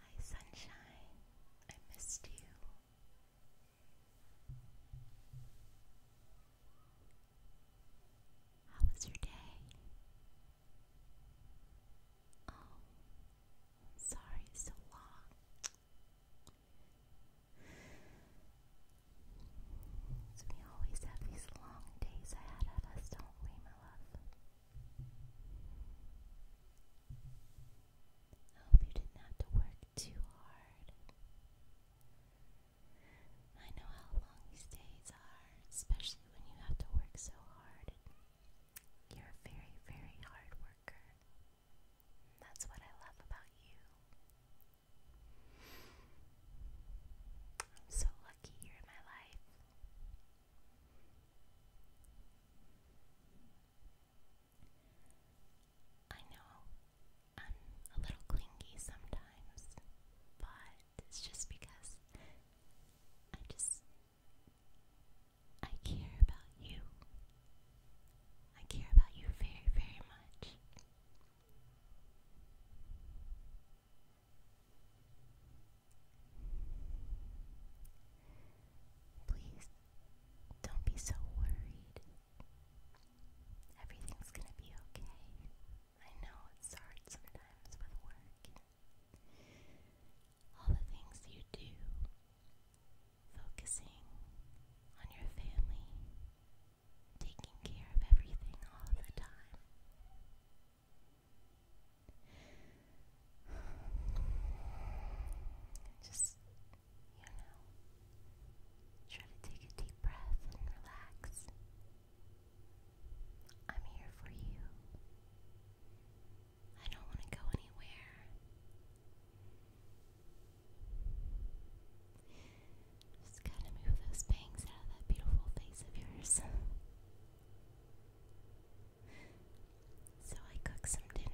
Hi, sunshine. I missed you. How was your day? Oh, sorry, so long. we always have these long days ahead of us, don't we, my love? I hope you didn't have to work too hard. I know how long these days are, especially when you have to work so hard. You're a very, very hard worker. That's what I love about you. I'm so lucky you in my life. I know I'm a little clingy sometimes, but it's just because I just I care about you. I care about you very, very much. Please don't be so worried. Everything's gonna be okay. I know it's hard sometimes with work all the things you do. Focusing on your family, taking care of everything all the time. Just you know, try to take a deep breath and relax. I'm here for you. I don't want to go anywhere. Just kind of move those bangs out of that beautiful face of yours. so I cooked some dinner.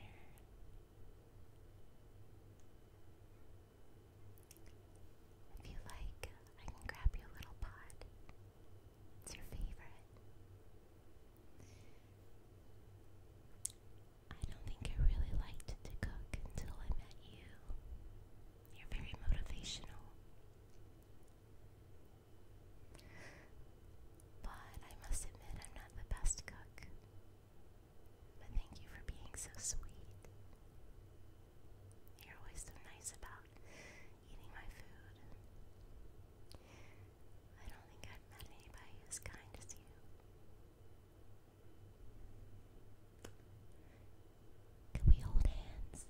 If you like, I can grab you a little pod. It's your favorite. I don't think I really liked to cook until I met you. You're very motivational. But I must admit, I'm not the best cook. But thank you for being so sweet. You're always so nice about eating my food. I don't think I've met anybody as kind as you. Can we hold hands?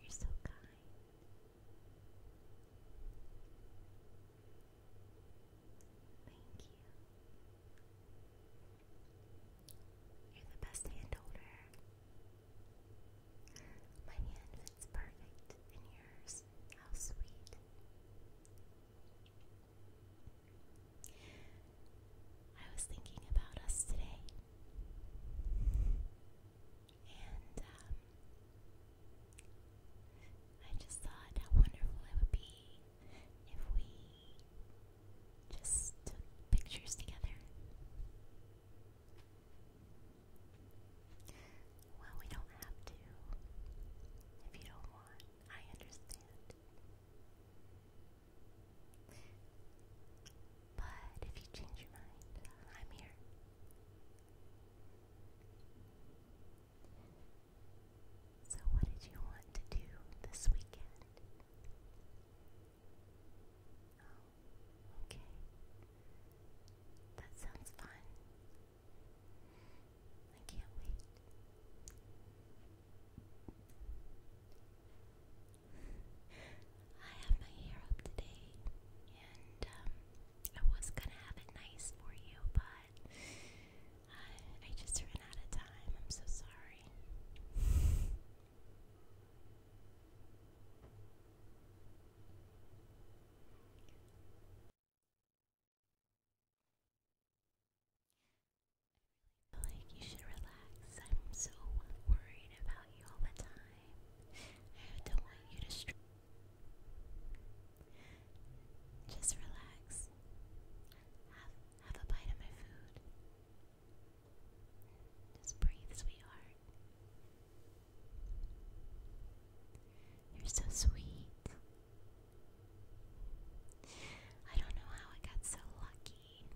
You're so kind. Thank you. You're the best hand holder. My hand fits perfect in yours. How sweet. I was thinking about us today. And um, I just thought how wonderful it would be if we just took pictures together. Well, we don't have to. If you don't want, I understand. But if you change your mind, I'm here. So, what did you want to do this weekend? Oh, okay. That sounds fun. I can't wait. I have my hair up today, and um, I was gonna have it nice for you, but I, I just ran out of time. I'm so sorry. like you should relax. I'm so worried about you all the time. I don't want you to str Just relax. Have have a bite of my food. Just breathe, sweetheart. You're so sweet. I don't know how I got so lucky.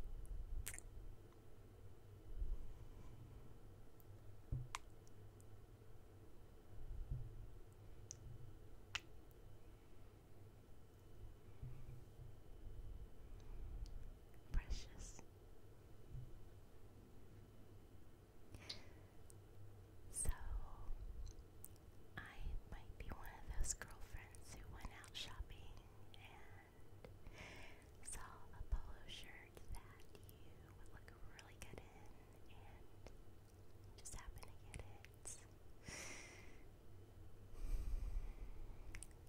Precious. So, I might be one of those girlfriends who went out shopping and saw a polo shirt that you would look really good in and just happened to get it.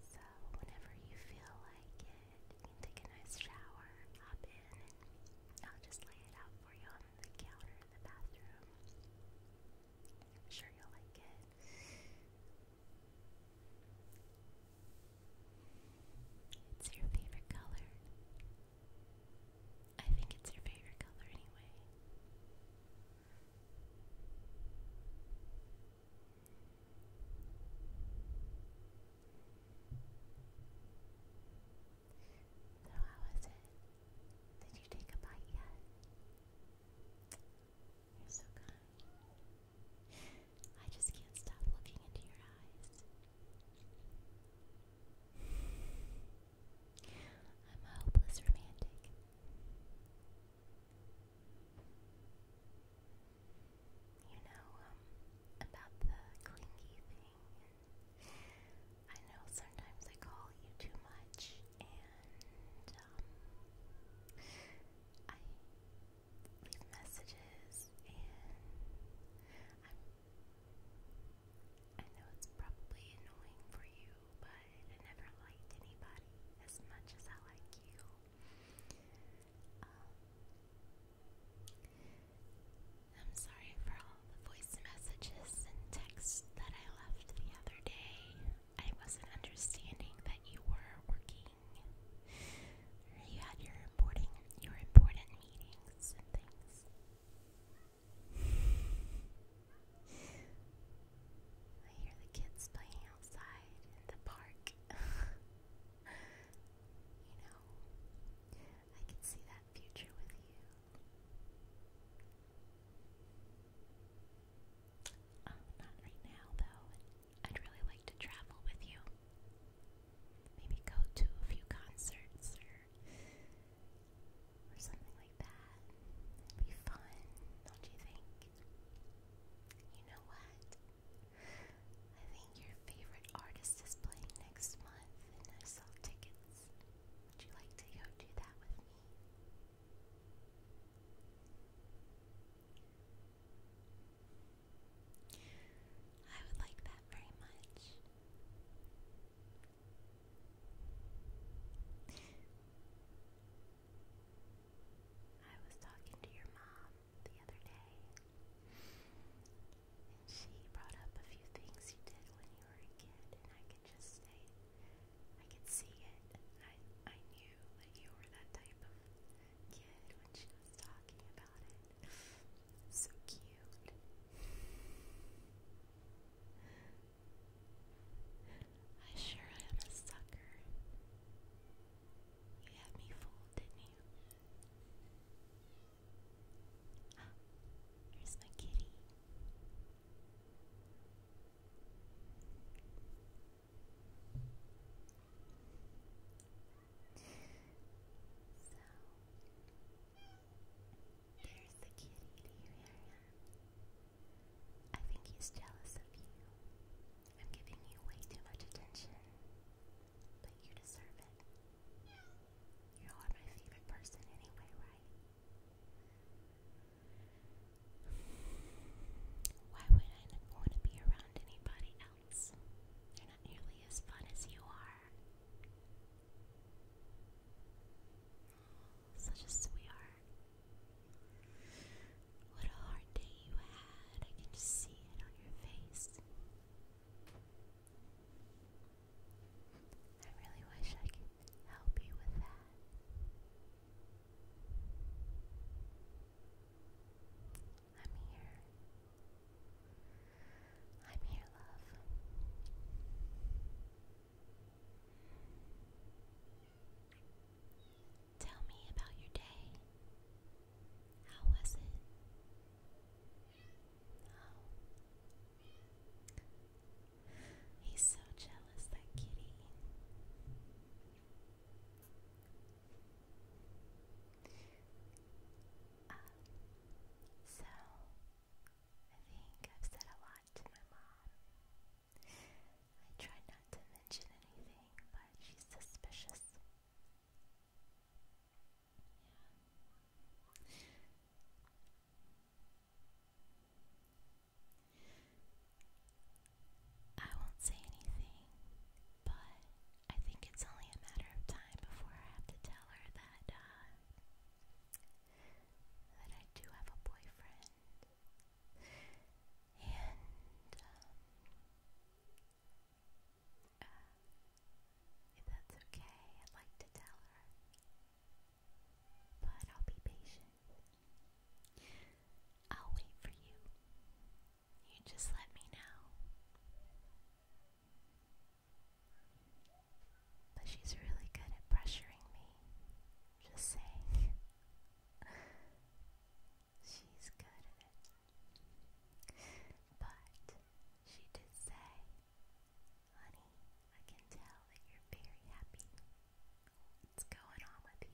So, whenever you feel like it, you can take a nice shower, hop in, and I'll just lay it out for you on the counter in the bathroom. I'm sure you'll like it. It's your favorite color. I think it's your favorite color anyway. So, how is it? Did you take a bite yet? You're so kind. I just can't stop looking into your eyes. I'm a hopeless romantic. You know, um, about the clingy thing. I know sometimes I call you too much, and, um, I leave messages, and i know it's probably annoying for you, but I never liked anybody as much as I like you. Um, I'm sorry for all the voice messages and texts that I left the other day. I wasn't understanding that you were working you had your important, your important meetings things. I hear the kids playing outside in the park. you know, I can see that future with you. Oh, not right now, though. I'd really like to travel with you. Maybe go to a few concerts or or something like that. be fun, don't you think? You know what? I think your favorite artist is playing next month and I saw tickets. Would you like to go do that with me? I would like that very much. I was talking to your mom the other day, and she brought up a few things you did when you were a kid, and I could just say, I could see it. I I knew that you were that type of kid when she was talking about it. So cute. I sure am a sucker. You had me fooled, didn't you? Ah, here's my kitty. So the kitty. Here I am. I think he's jealous of you. I'm giving you way too much attention, but you deserve it. You are my favorite person anyway, right? Why would I want to be around anybody else. They're not nearly as fun as you are. Such a sweetheart. What a hard day you had. I can just see it on your face. I really wish I could help you with that. I'm here. I'm here, love. Tell me about your day. How was it? Oh. He's so jealous, that kitty. Um, so, I think I've said a lot to my mom. I try not to mention anything, but she's suspicious. Yeah. I won't say anything, but I think it's only a matter of time before I have to tell her that uh, that I do have a boyfriend, and um, if that's okay, I'd like to tell her, but I'll be patient. I'll wait for you. You just let me know. But she's really good at pressuring me. Just saying. she's good at it. But she did say, honey, I can tell that you're very happy. What's going on with you?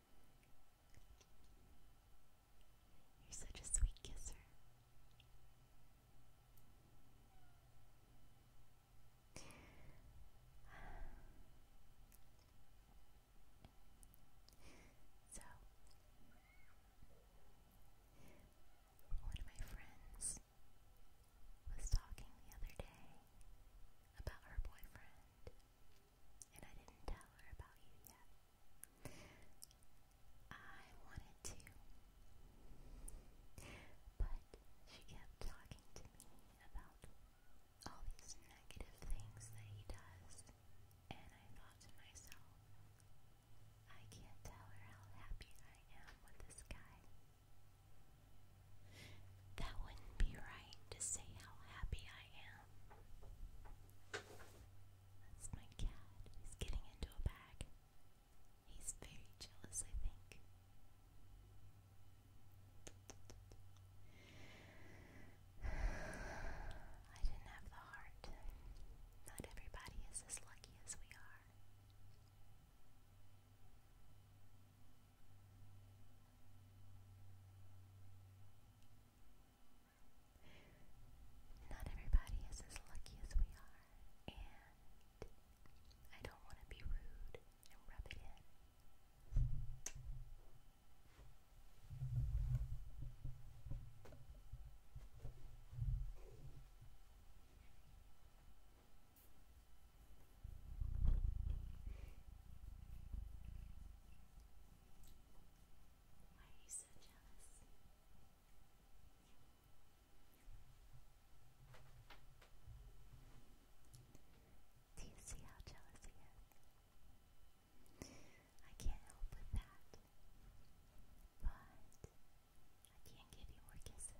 You're such a sweet kisser. So, one of my friends was talking the other day about her boyfriend, and I didn't tell her about you yet. I wanted to, but she kept talking to me about all these negative things that he does, and I thought to myself, I can't tell her how happy I am with this guy. That wouldn't be right to say how happy I am. That's my cat. He's getting into a bag. He's very jealous, I think. I didn't have the heart. Not everybody is as lucky as we are. Not everybody is as lucky as we are, and I don't want to be rude and rub it in. Why are you so jealous? Do you see how jealous he is? I can't help with that. But I can't give you more kisses.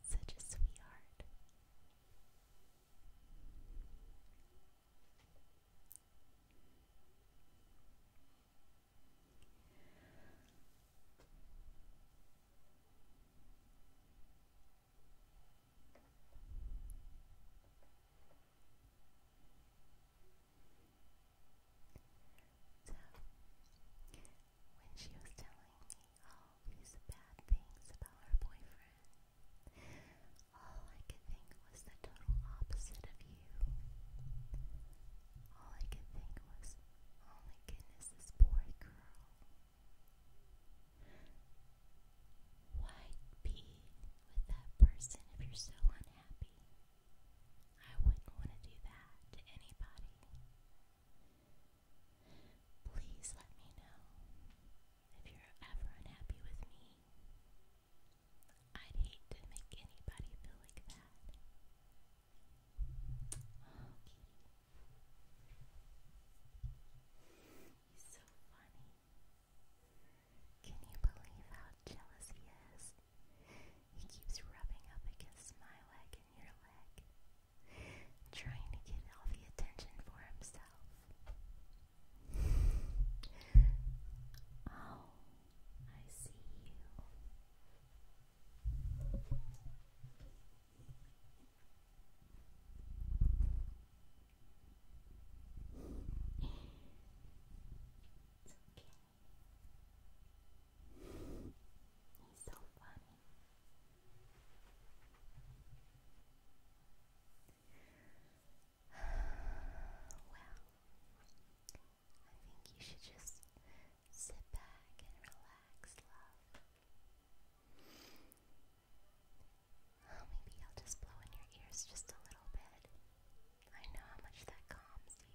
Such a sweetheart. So, when she was telling me all these bad things about her boyfriend, all I could think was the total opposite of you. All I could think was, oh my goodness, this poor girl. Why be with that person if you're so unhappy? I wouldn't want to do that to anybody. Please let me know if you're ever unhappy with me. I'd hate to make anybody feel like that. He's so funny. Can you believe how jealous he is? He keeps rubbing up against my leg and your leg, trying to get all the attention for himself. Oh, I see you. It's okay. He's so funny. well, I think you should just sit back and relax, love. Oh, maybe I'll just blow in your ears just a little bit. I know how much that calms you.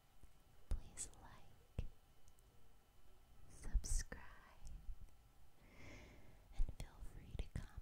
please like, subscribe, and feel free to comment.